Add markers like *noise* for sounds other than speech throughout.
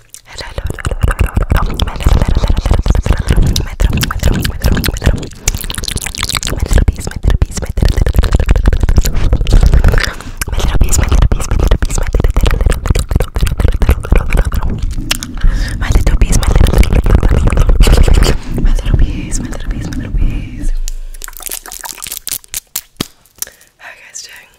my little bees, my little bees. How are you guys doing?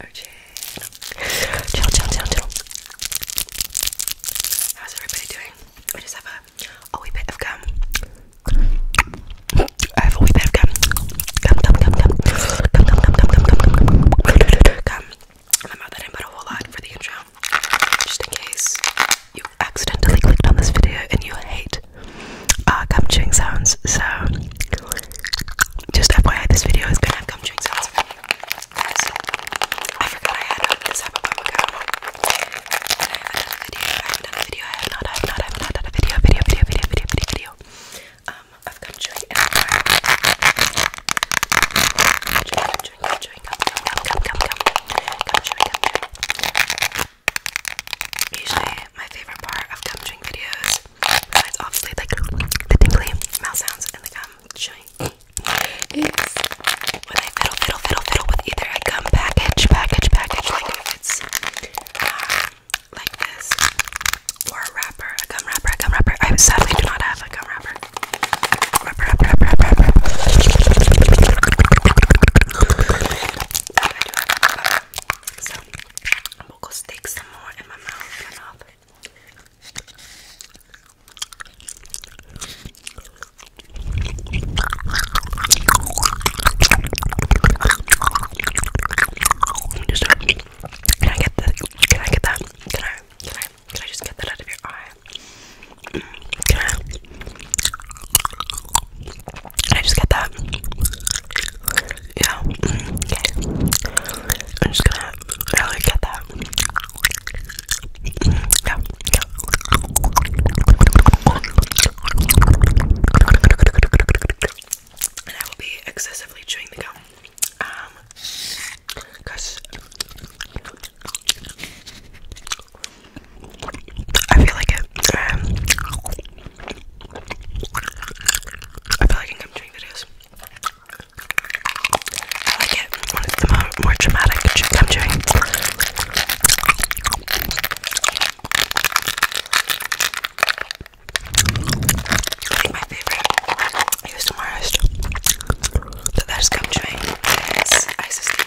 OJ. Chill, chill, chill, chill. How's everybody doing? I just have a, a wee of gum. I have a wee bit of gum. Gum, gum, gum, gum. Gum, gum, gum, gum, gum, gum, gum. Gum. And I'm out that in but a whole lot for the intro. Just in case you accidentally clicked on this video and you hate gum chewing sounds. So, just FYI, this video is gonna have gum chewing sounds. I forgot I had this a while ago. I have done a video, I have done a video, I have not, I have not, I have not done a video, video, video, video, video, video, video. Um, of country come, come, come, Usually, my favorite part of country videos Besides, obviously, like the tingly mouth sounds and the gum chewing is when I fiddle, fiddle, fiddle, fiddle with either gum package, package, package, like it's uh, like this, or wrapper, gum wrapper, gum wrapper. I sadly do not have a gum wrapper. Wrapper, wrapper, wrapper, wrapper, So, I'm going to stick some more in my mouth, mouth. Just, can I get the? Can I get that? Can I? Can I? Can I just get that out of your eye? Can I? Can I just get that? Yeah. Okay. I'm just gonna really get that. Yeah. yeah. And I will be excessively chewing the gum. Um, cause I feel like it. Um, I feel like I'm chewing videos. I like it when it's the more, dramatic chips I'm my favorite ASMR artist that I just come chewing is Isis the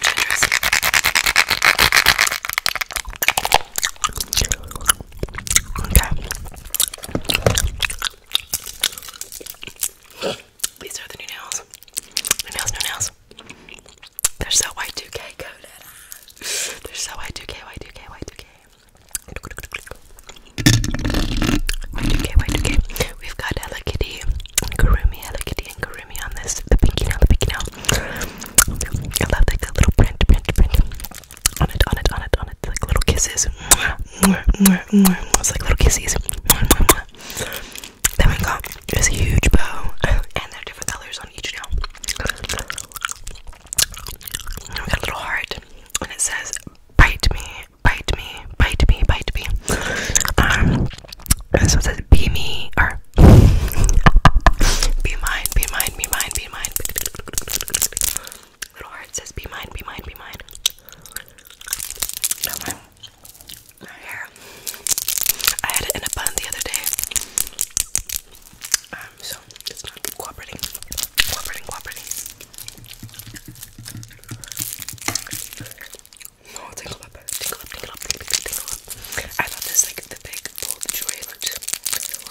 Okay. These are the new nails. New nails, new nails. They're so Y2K coded. They're so Y2K, Y2K, Y2K. Y2K, Y2K. We've got Hello Kitty and Karumi, Hello Kitty and Karumi on this. The pinky nail, the pinky nail. I love the little print, print, print on it, on it, on it, on it, like little kisses. It's like little kisses. Then we got this huge bow, and they're different colors on each now. we got a little heart, and it says, "Bite me, bite me, bite me, bite me." Um, and so says, "Be me," or *laughs* "Be mine, be mine, be mine, be mine." Little heart says, be mine, be mine, be mine. Now my, my hair. I had it in a bun the other day. Um, so it's not cooperating. Cooperating, cooperating. No, oh, tingle up, tingle up, tingle up, tingle up, tingle up. I thought this like the big gold jewelry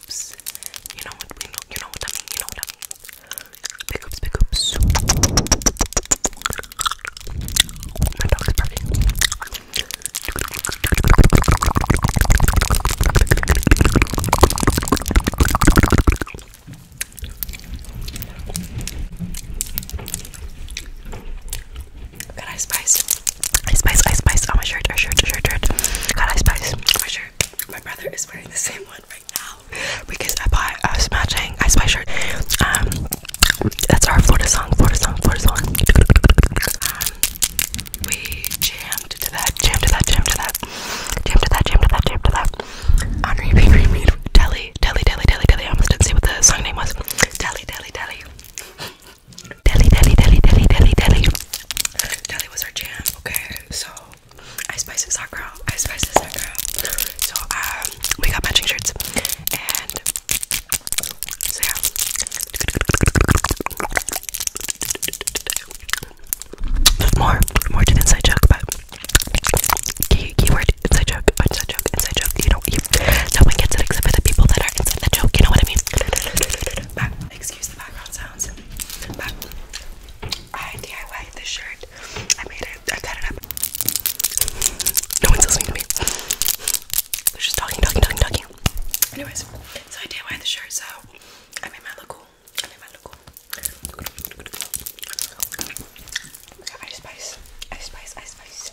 You know what we know. You know what I mean. You know what I mean. Big hoops, God, I spiced. I spice, I spice on my shirt, or shirt, or shirt, shirt. God, I spice my shirt. My brother is wearing the same one right now because I bought a uh, matching I spice shirt. Um, that's our Florida song, Florida song, Florida song. Um, we jammed to that, jammed to that, jammed to that, jammed to that, jammed to that, jammed to that. On repeat, repeat. Telly, telly, telly, telly, telly. I almost didn't see what the song name was. Telly, telly, telly. Delhi, Delhi, Delhi, Delhi, Delhi, Delhi. Delhi was our jam, okay? So, I spiced this hot girl. I spiced this hot girl. So, um, we got matching shirts. And, so yeah. There's more, more to the inside joke, but key, keyword inside joke, inside joke, inside joke. You know, you, no one gets it except for the people that are inside the joke. You know what I mean? excuse the background sounds, but I DIY this shirt. I made it, I cut it up. No one's listening to me. They're just talking, talking, talking, talking. Anyways, so I DIY the shirt, so I made my look cool. I made my look cool. ice spice, ice spice, ice spice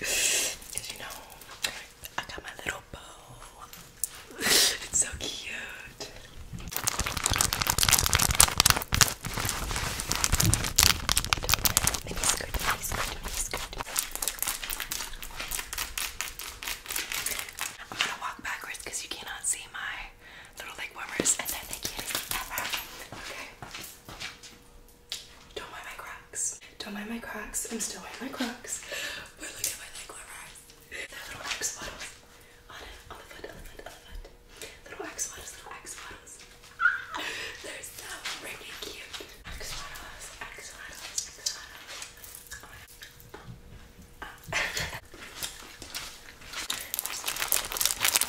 Cause you know, I got my little bow. *laughs* It's so cute. Mini skirt, mini skirt, mini skirt. I'm gonna walk backwards because you cannot see my little leg warmers and they can't ever. Okay. Don't mind my cracks. Don't mind my cracks. I'm still wearing my cracks. look at my leg right. little X bottles. On the foot, on the Little X bottles, little X bottles. *laughs* they're so freaking cute. X bottles, X bottles, *laughs*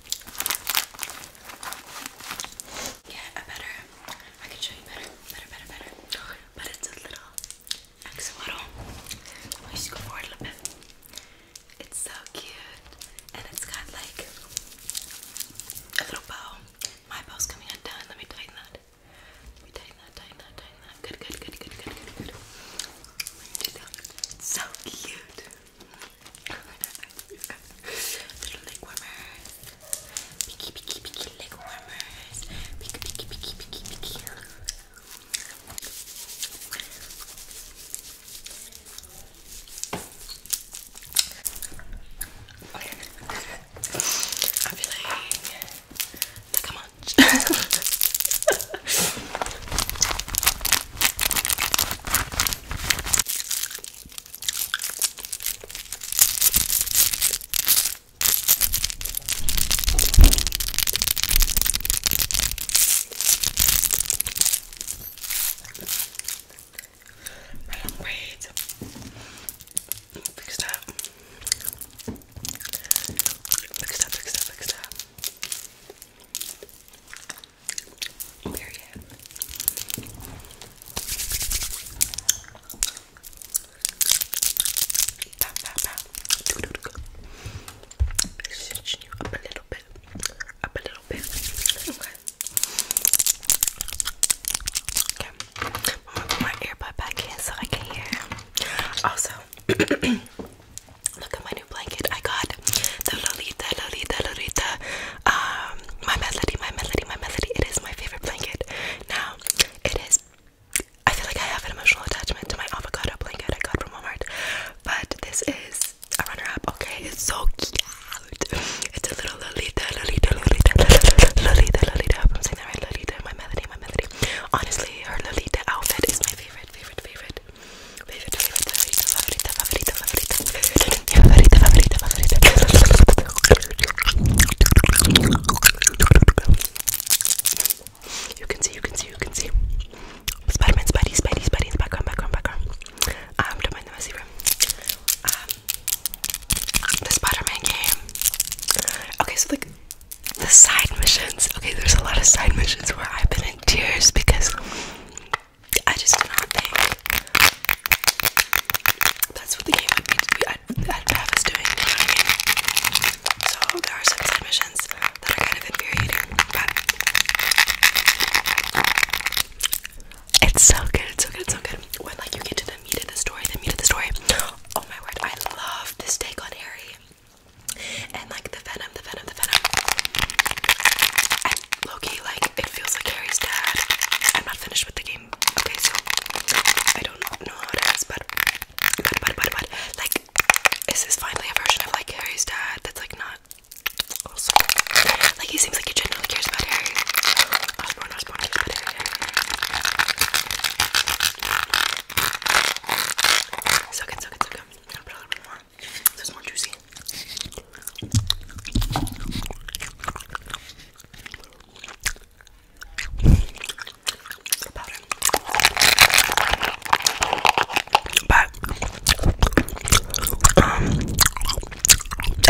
Yeah, I better. I can show you better, better, better, better. But it's a little axolotl. Let me just go forward a little bit. It's so cute, and it's got like a little bow. My bow's coming undone. Let me tighten that. Let me tighten that, tighten that, tighten that. Good, good, good, good, good, good, good. So cute. Little leg warmers. Picky, picky, picky leg warmers. Picky, picky, picky, picky, picky. I'm feeling like a munch. My long braids fixed up. Fixed up, fixed up, fixed up. Period. Pow, pow, pow. Do, do, you up a little bit. Up a little bit. Okay. Okay. I'm gonna put my earbud back in so I can hear. Also, *clears throat* Look at my new blanket. I got the Lolita, Lolita, Lolita. Um, my melody, my melody, my melody. It is my favorite blanket. Now, it is. I feel like I have an emotional attachment to my avocado blanket I got from Walmart, but this is a runner-up. Okay, it's so cute. It's a little Lolita, Lolita, Lolita, Lolita, Lolita. I hope I'm saying that right. Lolita, my melody, my melody. Honestly, her Lolita outfit is my favorite, favorite, favorite. You can see, you can see, you can see. Spider-Man, Spidey, Spidey, Spidey in the background, background, background. Um, don't the messy room. Um, the Spider-Man game. Okay, so like the side missions. Okay, there's a lot of side missions where I've been in tears because I just do not think that's what the game would be. i have us doing, you So there are some submissions that are kind of infuriating, but it's so good, it's so good, it's so good. When like you get to the meat of the story, the meat of the story. Oh my word, I love this take on Harry and like the venom, the venom, the venom. And Loki, like it feels like Harry's dad. I'm not finished with the game. Okay, so I don't know how it is, but but but but but like is this finally a version of like Harry's dad that's like not also like he seems like he genuinely cares about Harry. Osborne, oh, Osborne, Osborne, Harry, Harry, Harry more. more juicy. Um, I've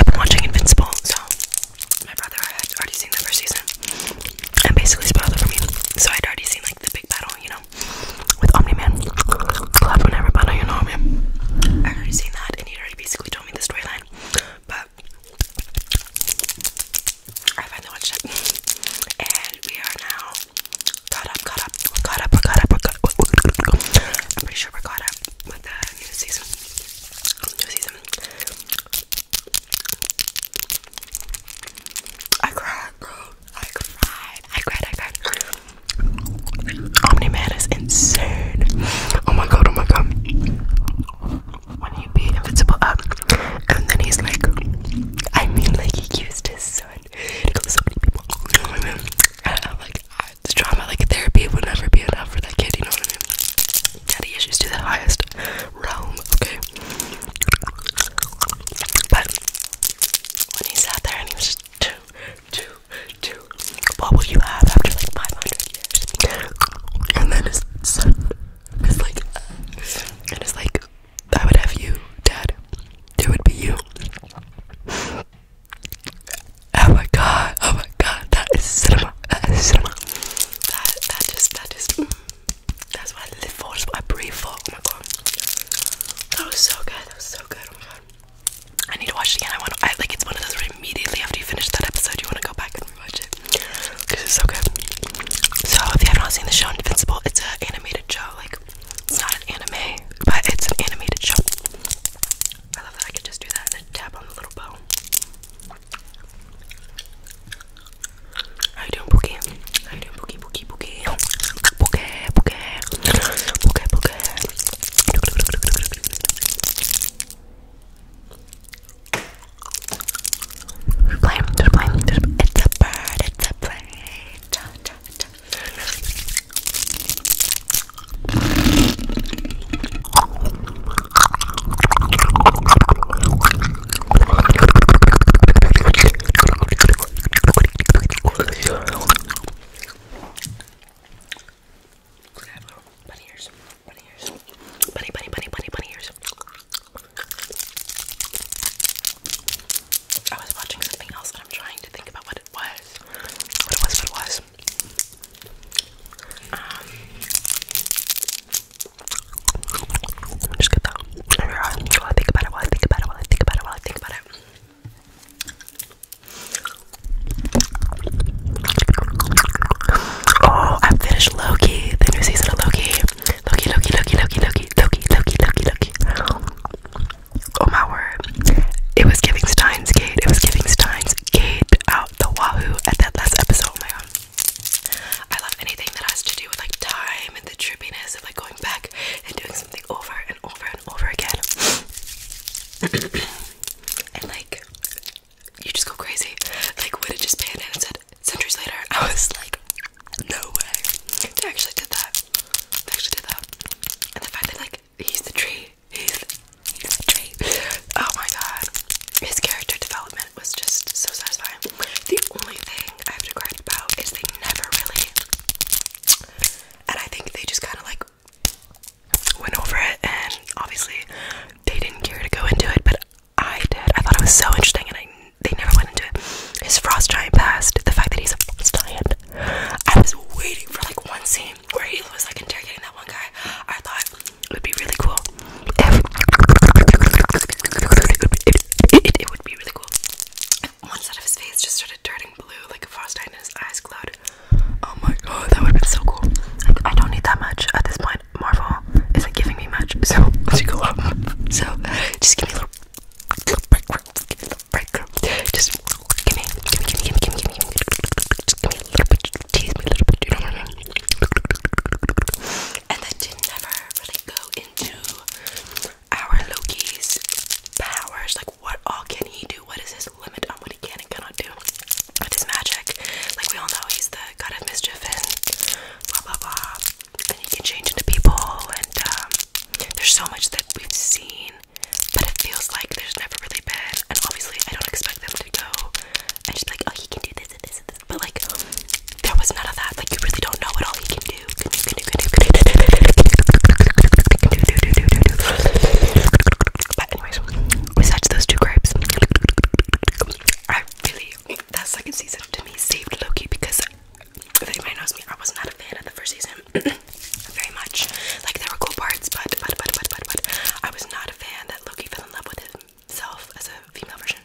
been watching Invincible, so my brother had already seen the first season, and basically spoiled for me. So I'd already seen like the big battle, you know with Omni Man, clapping everybody, you know what I have already seen that, and he already basically told me the storyline, but I finally watched it, and we are now caught up, caught up, caught up, caught up, caught up. I'm pretty sure we're caught up with the new season, new season. I cried, bro. I cried. I cried. I cried. Omni-Man is insane. Oh my god, oh my god. When he beat Invincible up, and then he's like, I mean, like, he used his son to kill so many people. You know what I mean? And, like, ah, it's drama, like, therapy would never be enough for that kid, you know what I mean? Daddy issues to the highest realm, okay? But when he's out there and he's just too two, two. What will you have after like 500 years? And then his son like, and it's like, I would have you, Dad. It would be you. Oh my god, oh my god, that is cinema, that is cinema. That, that just, that just, mm. that's what I live for, that's what I breathe for, oh my god. That was so good, that was so good, oh I need to watch it again. I want I like it's one of those where immediately after you finish that episode you want to go back and rewatch it. Cause it's so good. So if you have not seen the show Invincible, it's an animated show. Like it's not an anime, but it's an animated show. I love that I could just do that and tap on the little bow. How you doing, Pookie? How you boogie, boogie, boogie. Boogie, boogie. Boogie, it's a bird, it's a plane. Cha, cha, cha bunny ears? Bunny ears. Bunny, bunny, bunny, bunny, ears. I was watching something else and I'm trying to think about what it was. What it was, what it was. Um, just get that. I think about it while I think about it while I think about it while I think about it. Oh, I finished Loki, the new season of Loki. Loki, Loki, Loki, Loki, Loki, Loki, Loki, Loki, Oh my word. It was giving Steins Gate. It was giving Steins Gate out the wahoo at that last episode. Oh my god. I love anything that has to do with like time and the trippiness of like going back and doing something over and and over and over again. *clears throat* and like, you just go crazy. Like, would it just pan in and said centuries later? I was like, no way. They actually did that. They actually did that. And the fact that, like, he's the tree. He's the, he's the tree. Oh my god. His character development was just so satisfying. The only thing I have to gripe about is they never really and I think they just kind of like went over it, and obviously they didn't care to go into it, but I did. I thought it was so interesting, and they never went into it. His frost giant past the fact that he's a frost giant. I was waiting for like one scene where he was like interrogating that one guy. I thought it would be really cool. it would be really cool one side of his face just started turning blue like a frostbite and his eyes glowed. Oh my god, that would have been so cool. I don't need that much at this point. Marvel isn't giving me much, so let's go up. So, just give me a little, little break, Just give me, give me, give me, give me, give me, just give me a little bit, tease a little bit, And then to never really go into our Loki's powers. Like, what all can he do? What is his limit on what he can and cannot do with his magic? Like, we all know he's the god of mischief and blah blah blah. And he can change into people. And um, there's so much that we've seen, but it feels like there's never really been. And obviously, I don't expect them to go and just like, oh, he can do this and this and this. But like, there was none of that. Like, you really don't know what all he can do besides those two grapes, that second season to me saved Loki because if anybody knows me, I was not a fan of the first season *clears throat* very much. Like there were cool parts, but but but but but I was not a fan that Loki fell in love with himself as a female version.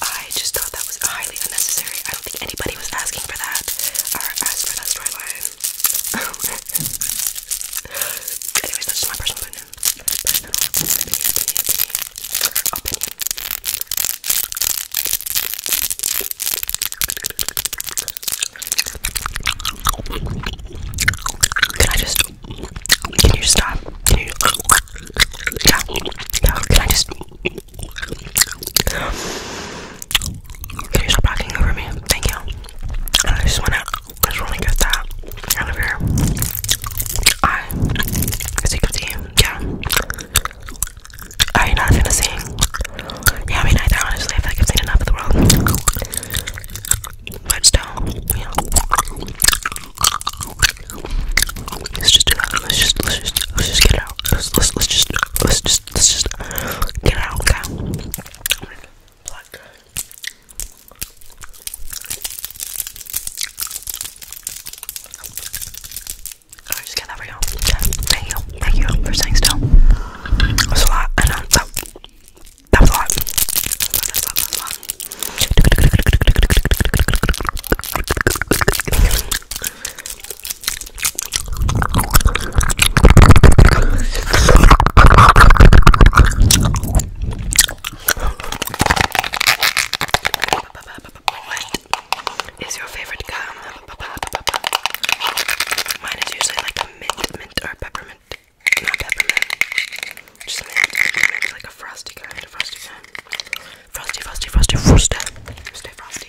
I just thought that was highly unnecessary. I don't think anybody was asking for that or asked for that storyline. *laughs* Anyways, that's just my personal opinion. opinion, Can I just? Can you stop? Can you? Can I just? Can you stop talking over me? Thank you. I just wanna just really get that out of here. I as you can see, yeah. Are you not gonna sing? Yeah, I mean neither honestly, I feel like I've seen enough of the world. Let's just do that. Let's just let's just let's just get out. let's let's just Let's just let's just get out, okay? Black. just get that for you. Thank you. Thank you for staying still. That a lot. That's a lot, that's a lot. What is your favorite gum? Mine is usually like a mint, mint or peppermint. Not peppermint. Just mint, like a frosty kind, a frosty kind. Frosty, frosty, frosty, frosty. Stay frosty.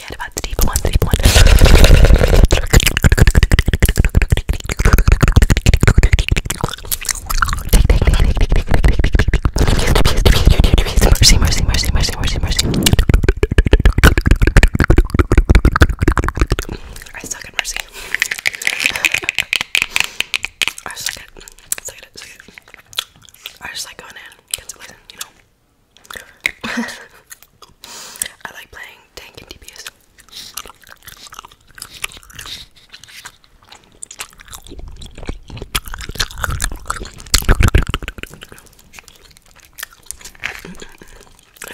gonna get Mercy, I suck at mercy. it, I just like going in, you know. *laughs* I like playing tank and DPS.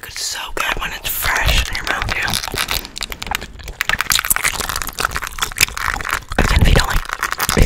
it's so good when it's fresh in your mouth too. I don't know where you're but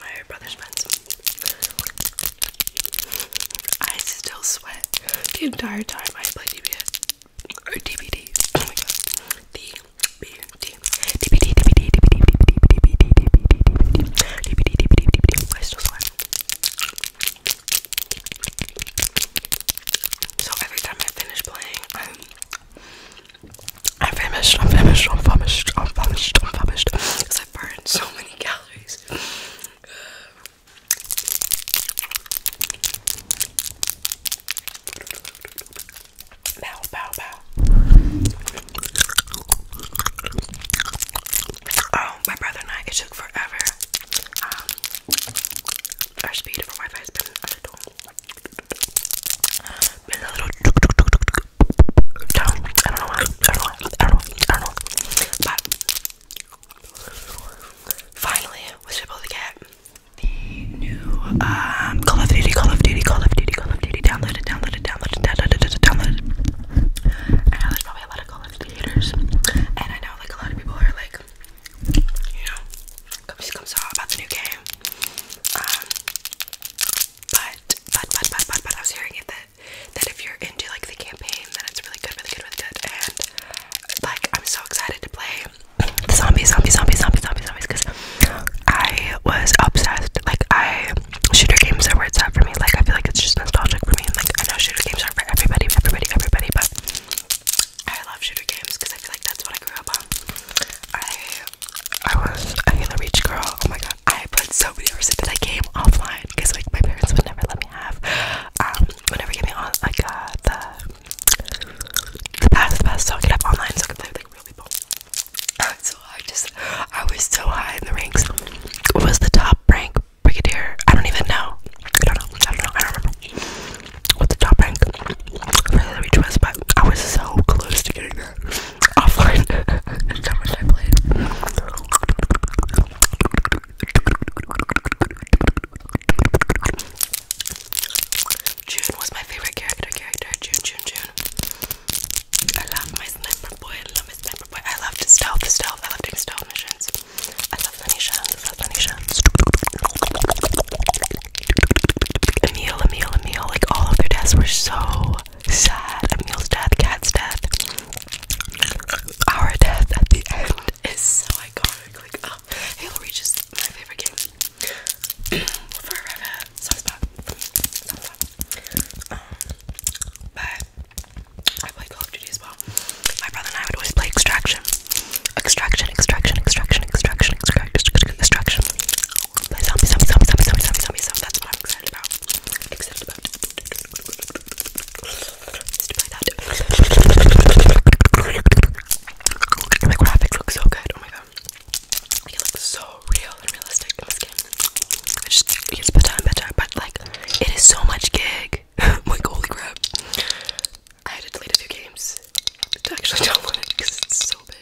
my brother's friends. I still sweat the entire time I play DBD. Or DVD. Oh my god. DVD. DVD, DVD, DVD, DVD, DVD, DVD, DVD, I still sweat. So every time I finish playing, I'm I'm famished, I'm famished, I'm famished, I'm famished, I'm famished. Because I burned so many calories. Bow, bow, bow. Oh, my brother and I, took forever. Um, our speed for Wi Fi has been been a little down. I don't know why. I don't know. Why. I don't know. I don't know. But finally, was able to get the new um Call of Duty, Call of Duty, Call of Duty, Call of Duty. Downloaded, downloaded, downloaded, downloaded, downloaded. I know there's probably a lot of Call of Duty haters, and I know like a lot of people are like, you know, comes comes out about the new game. Um, but but but but but but I was hearing it that that if you're into like the campaign then it's really good, really good, really good. And like I'm so excited to play the zombies, zombies, zombies, zombies, zombies, zombies, because I was obsessed. Like I shooter games are where it's for me. Like I feel like it's just nostalgic for me. like I know shooter games are not for everybody, everybody, everybody, but I love shooter games because I feel like that's what I grew up on. I I was a Halo Reach girl. Oh my god, I put so many hours into that game offline because like my parents would never let me have. Um, would never me on like uh, the the pass, the pass, so I could have online, so I could play like real people. Uh, so I just, I was so high in the ranks. was the top rank brigadier? I don't even know. I don't know. I don't know. I don't remember what the top rank for Halo Reach was, but I was so close to getting that offline. That's how much I played. June was my favorite character. Character June, June, June. I love my sniper boy. I love my sniper boy. I loved stealth, stealth. I love doing stealth missions. I love Lanisha. I love Lanisha. Emil, Emil, Emil, like all of their deaths were so sad. Emil's death, Cat's death, our death at the end is so iconic. Like, oh, Halo Reach is my favorite game *clears throat* forever. Soft spot, soft spot. Um, but I play Call of Duty as well. My brother and I would always play Extraction, extraction, extraction, extraction, extraction, extraction, extraction. But zombies, zombies, zombies, zombies, zombies, zombies, zombies, zombies. That's what I'm excited about. Excited about. My graphics look so good. Oh my god. it looks so real and realistic in this game. just it gets better and but like it is so much gig. *laughs* like holy crap. I had to delete a few games to actually download it because it's so big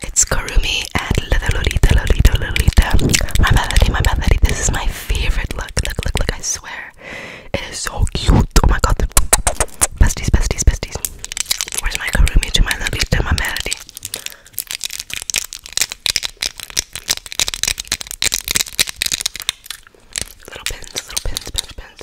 It's Karumi and Little Lolita, Lolita, Lolita. My melody, my melody. This is my favorite look. Look, look, look. I swear. It is so cute. Oh my god. Besties, besties, besties. Where's my Karumi to my Lolita, my melody? Little pins, little pins, pins, pins.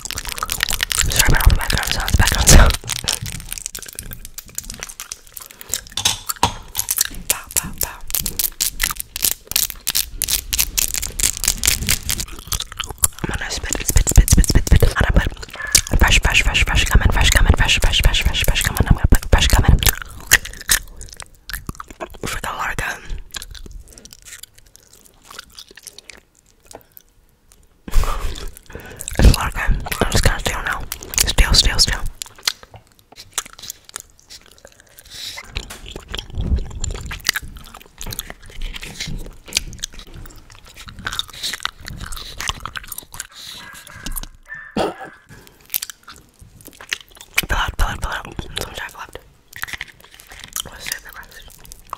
I'm sorry about all the background sounds, background sounds. Bow, bow, bow. I'm gonna spit, spit, spit, spit, spit, spit, and I put fresh, fresh, fresh, fresh, come in, fresh, come in, fresh, fresh, fresh, fresh, fresh, come in, I'm gonna put fresh, come in. For the larga it's a lot good. I'm just gonna steal now. Steal, steal, steal. Fill out, fill out, fill out. Some jack left. Let's save the rest.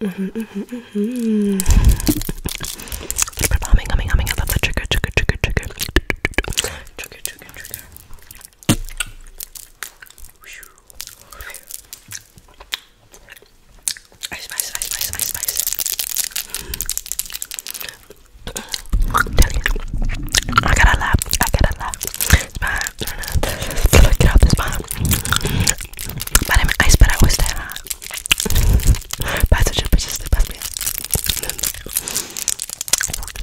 Mm-hmm, mm-hmm, mm-hmm. Keep it humming, humming, humming. I love the trigger, trigger, trigger, trigger. Trigger, trigger, trigger. Ice, ice, ice, ice, ice, ice. I gotta laugh. I gotta laugh. It's fine. Get off this bomb. My name is Ice, but I was there. Passager persiste, passe bien.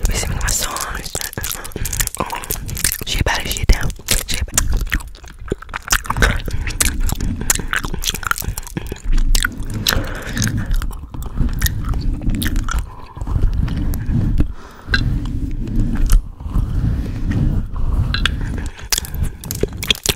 We sing my songs. She about it, she down. She about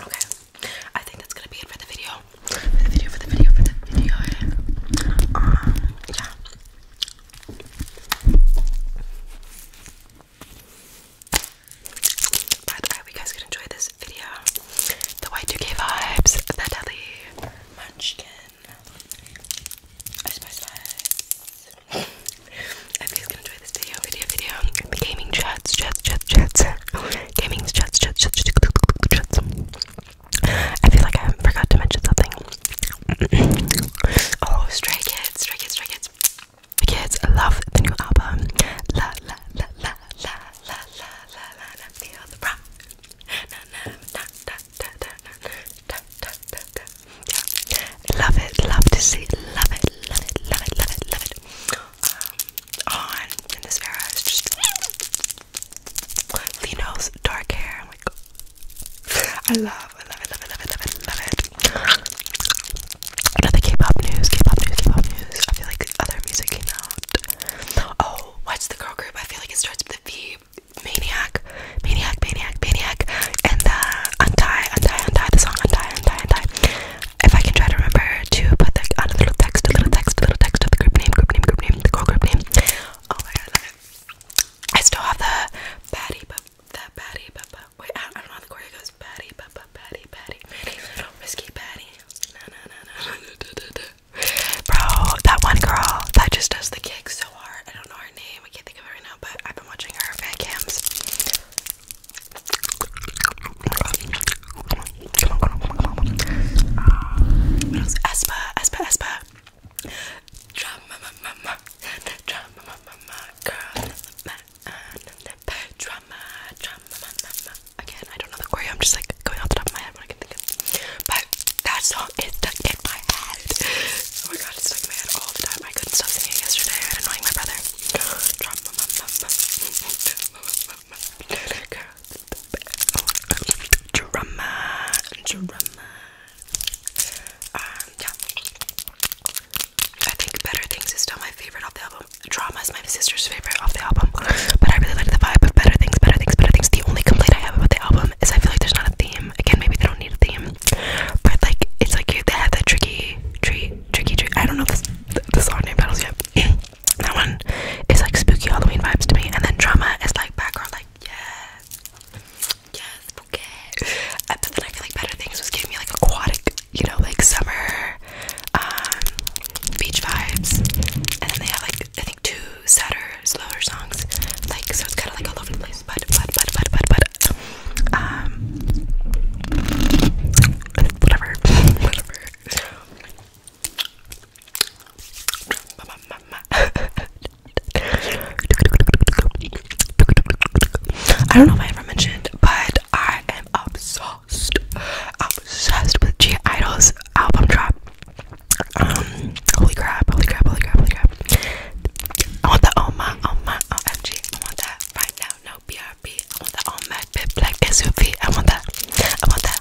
Okay, I think that's gonna be it for the video. For the video, for the video, for the video. Um, yeah. But I hope you guys could enjoy this video. The y 2 vibes, the deli munchkin, ice spice vibes guys. I hope you guys can enjoy this video, video, video. The gaming chats, chats, chats, chats. Gaming chats, chats, chats, chats. I feel like I forgot to mention something. *clears throat* oh, Stray Kids, Stray Kids, Stray Kids. The kids love the new album. La la la la la la la la la la feel the rock. Na na da da da da da da da da yeah. Love it, love to see it, love it, love it, love it, love it, love it. Um, on in this era is just Lino's dark hair. I'm like, I love, I love it, love it, love it, love it, love it. Another K-pop news, K-pop news, K-pop news. I feel like other music came out. Oh, what's the girl group? I feel like it starts with a V. Maniac maniac, maniac, maniac, and the uh, untie, untie, untie, the song untie, untie, untie. If I can try to remember to put the on a little text, a little text, a little text of the group name, group name, group name, the girl group name. Oh my god, I love it. I still have the baddie, but that baddie, but wait, I, I don't know how the choreo goes. Baddie, but baddie, baddie, baddie, risky baddie. No, no, no, no, no, no, no, no. Bro, that one girl that just does the kick so hard. I don't know her name name. I can't think of it right now, but I've been watching her fan cams. What else? Espa, Espa, Drama, drama, girl, drama, drama, mama. Again, I don't know the choreo. I'm just like going off the top of my head when I can think of. But that song is stuck Oh my god, it's like mad all the time. I couldn't stop singing it yesterday. I had annoying my brother. Drama. Drama. Um, yeah. I think Better Things is still my favorite off the album. Drama is my sister's favorite off the album. But I really like the vibe of Better Things, Better Things, Better Things. The only complaint I have about the album is I feel like there's not a theme. Again, maybe they don't need a theme. But like, it's like they have that tricky, tree, tricky tree. I don't know if the, song name battles yet. *clears throat* that one is like spooky Halloween vibes to me, and then drama is like background, like yes, yes, okay. But then I feel like better things was giving me like aquatic, you know, like summer, um, beach vibes, and then they have like I think two sadder, slower songs, like so it's kind of like all over the place. But but but but but but um, whatever. I don't know if I ever mentioned, but I am obsessed, obsessed with G Idol's album drop. Um, holy crap, holy crap, holy crap, holy crap. I want that on my, on my, OMG. I want that right now. No BRB. I want that on my bit black SUV. I want that. I want that.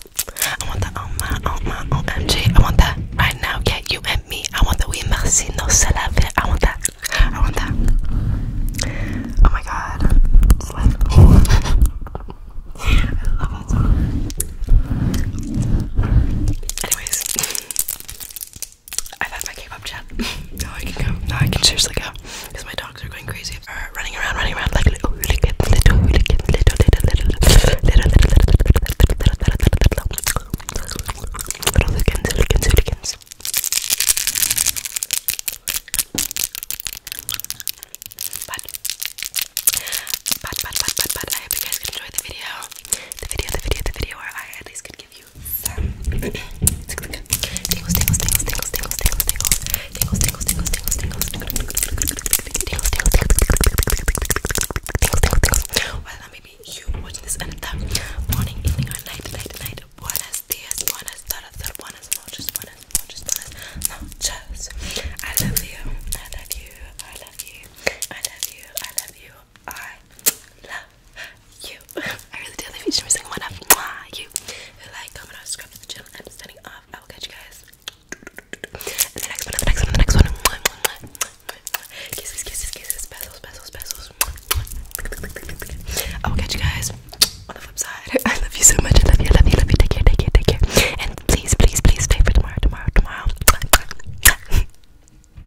I want that on my, on my, OMG. I want that right now. Yeah, you and me. I want the we merci no c'est la vie. I want that. I want that. Oh my god. It's like, I love it so much. Anyways, I've had my K-pop chat. now I can go. Now I can seriously go. Because my dogs are going crazy. Or running around, running around like little little little little little little little little little little little but, but, but, but, but, but I hope you guys can enjoy the video. The video, the video, the video where I at least could give you youth. maybe you watching this in the morning, evening, or night, night, night. Buenas dias, buenas tardes, buenas noches, buenas noches, buenas noches. I love you, I love you, I love you, I love you, I love you, I love you. I really do love each and every single one of you. Who like, comment, or subscribe to the channel. I'm signing off. I will catch you guys in the next one, in the next one, in the next one. Kisses, kisses, kisses, bezels, bezels, bezels. I will catch you guys on the flip side. *laughs* I love you so much. I love you, I love you, I love you. Take care, take care, take care. And please, please, please stay for tomorrow, tomorrow, tomorrow.